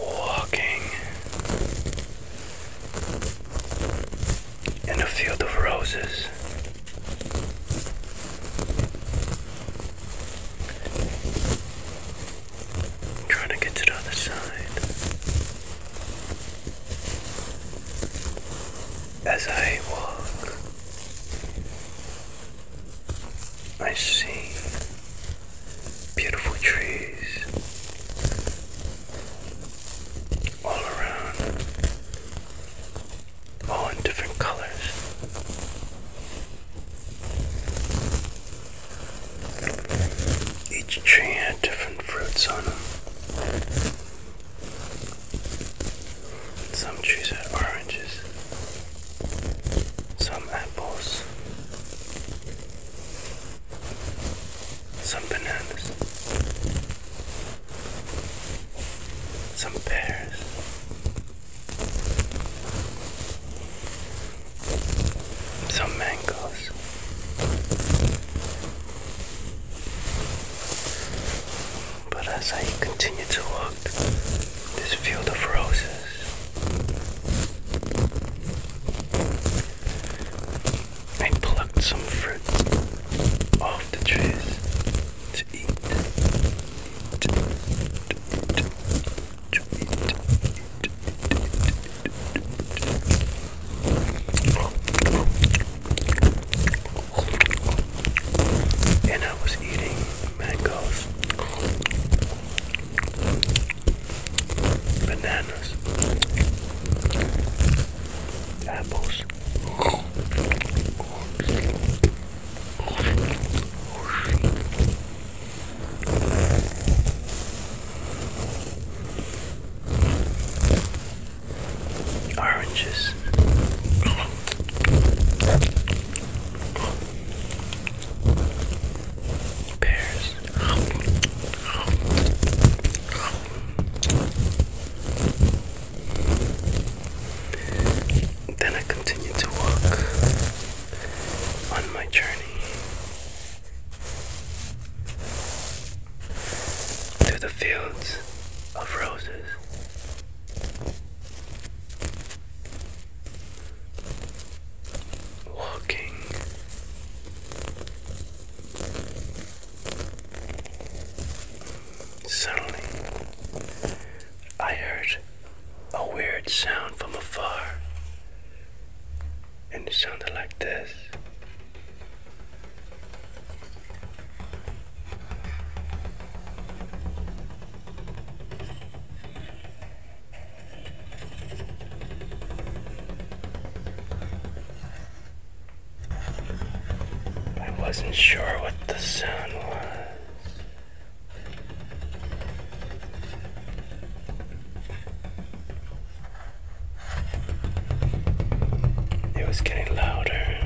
Walking in a field of roses, trying to get to the other side. As I walk, I see beautiful trees all around, all in different colors. Each tree had different fruits on them. Some trees had oranges, some apples, some bananas, some pears. Some mangoes, but as I continue to walk this field of roses, I plucked some fruit off the trees to eat. to eat and I was eating mangoes, bananas, apples, oranges. Pears. Then I continued to walk on my journey. To the fields of roses. Walking suddenly, I heard a weird sound from afar, and it sounded like this. I wasn't sure what the sound was. It was getting louder.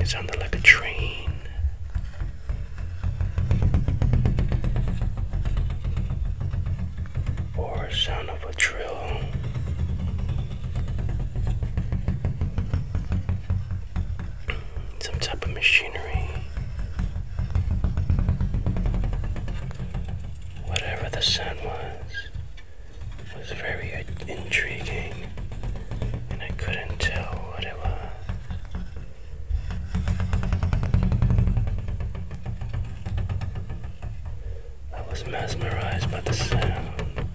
It sounded like a train. Or sound of a drill. Some type of machinery. Whatever the sound was, was very intriguing, and I couldn't tell what it was. I was mesmerized by the sound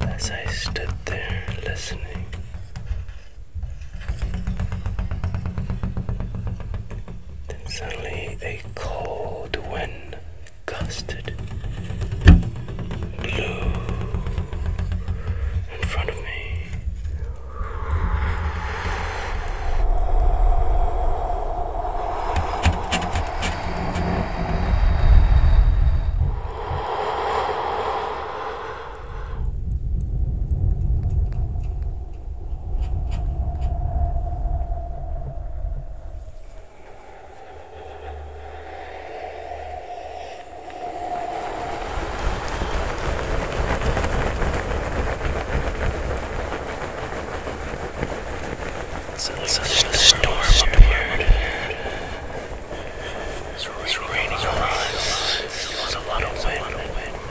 as I stood there listening suddenly a cold wind gusted, blew in front of me. Such, such a storm up here. It's raining around. There's a lot of wind.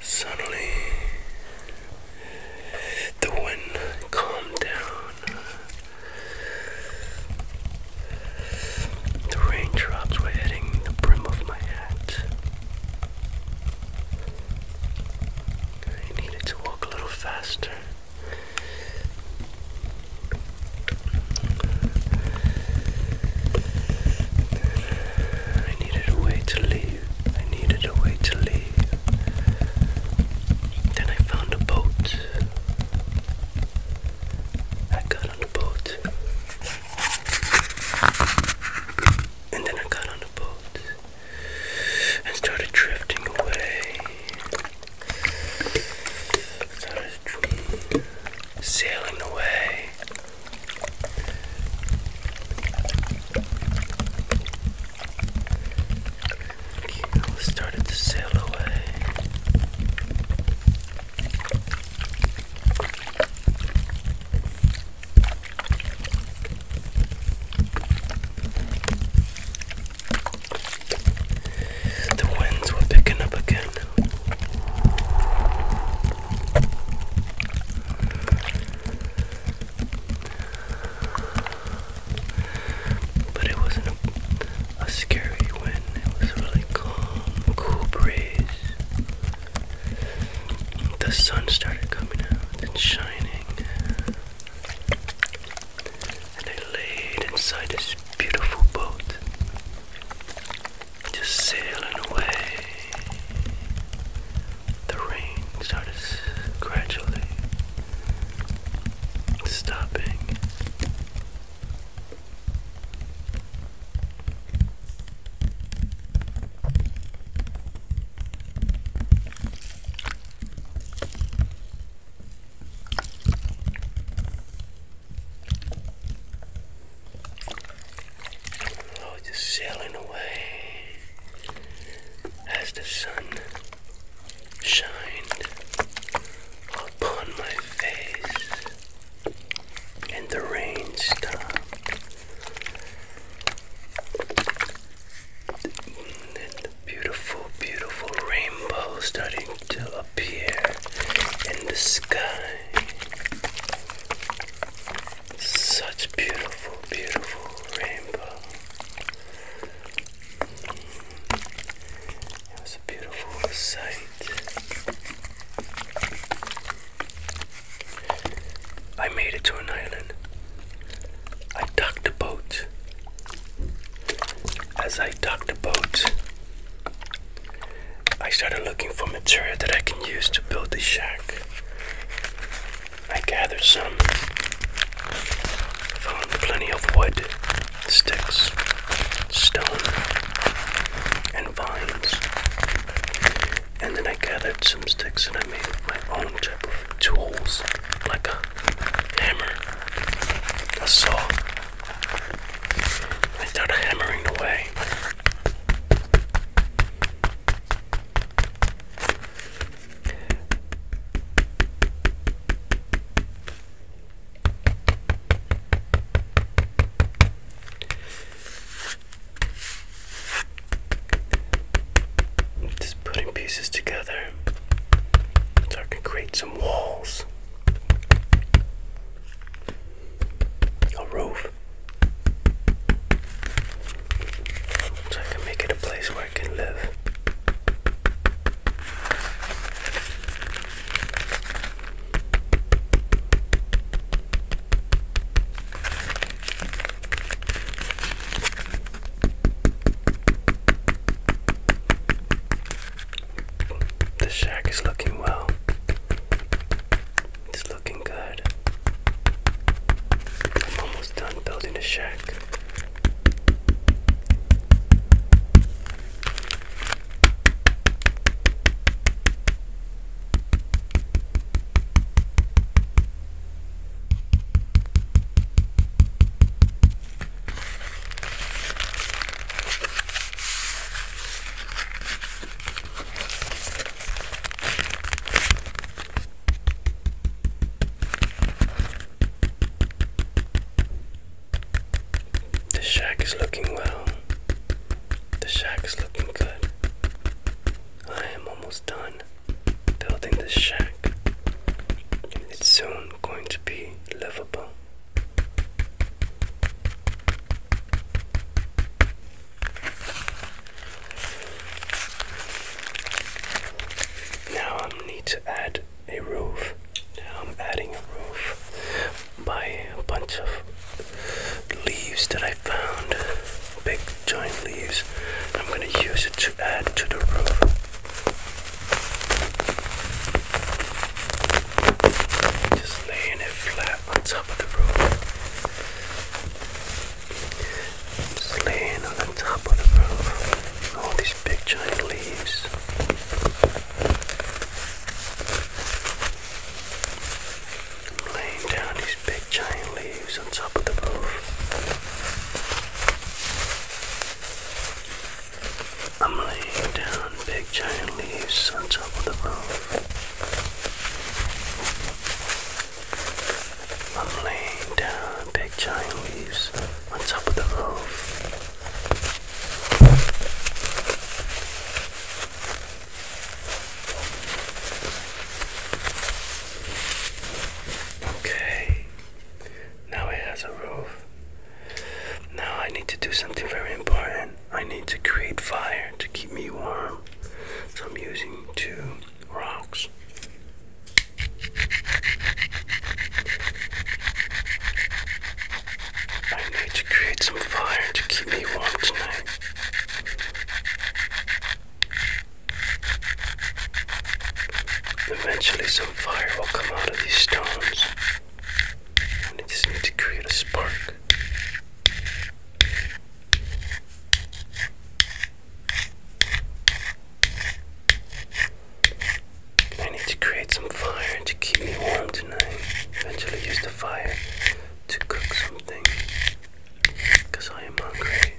Suddenly, the wind calmed down. The raindrops were hitting the brim of my hat. I needed to walk a little faster. I needed a way to leave. I needed a way to leave. Then I found a boat. I got on the boat. And then I got on the boat and started drifting away. Started dr sailing away. started to sail away. The winds were picking up again. But it wasn't a, scary wind, it was really calm, cool breeze. The sun started coming out and shining and I laid inside this beautiful boat, just sailing away. The rain started gradually stopping. Oh, just sailing away as the sun shined upon my face and the rain stopped the beautiful, beautiful rainbow starting to appear in the sky. Such beautiful, beautiful rainbow. It was a beautiful sight. I made it to an island. I docked the boat. As I docked the boat, I started looking for material that I can use to build the shack. I gathered some, found plenty of wood, sticks, stone, and vines. And then I gathered some sticks and I made my own type of tools, like a hammer, a saw. I started hammering away. Just putting pieces together so I can create some walls, a roof, so I can make it a place where I can live. The shack is looking well. It's looking good. I'm almost done building the shack. The shack is looking well. The shack is looking good. I am almost done building this shack, it's soon going to be livable. Now I need to add a roof. Now I'm adding a roof by a bunch of leaves that I found big giant leaves. I'm going to use it to add to the roof. Just laying it flat on top of the roof. Just laying on top of the roof. All these big giant leaves. laying down these big giant leaves on top of the roof. I'm laying down big giant leaves on top of the roof. I'm laying down big giant leaves on top of the roof. Okay, now it has a roof. Now I need to do something very important. I need to create fire to keep me warm. So I'm using two rocks. I need to create some fire to keep me warm tonight. Eventually some fire will come out of these stones. And it just needs to create a spark. I need to create some fire to keep me warm tonight. Eventually use the fire to cook something because I am hungry.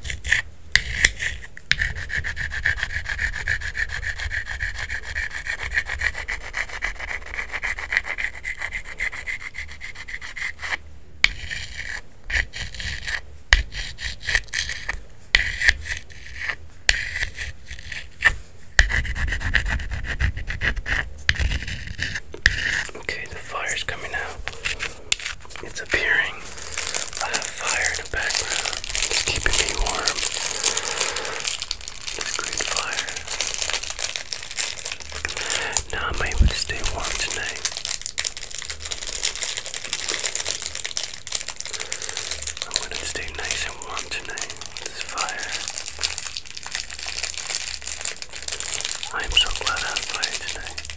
Okay, the fire's coming out. It's appearing. I have fire in the background. It's keeping me warm. This great fire. Now I'm able to stay warm tonight. I want to stay nice and warm tonight with this fire. I am so glad I have fire tonight.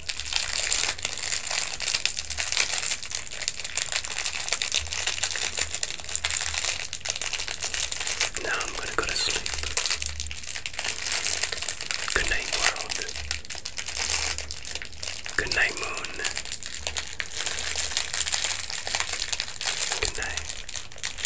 Now I'm going to go to sleep. Good night, world. Good night, moon. Good night.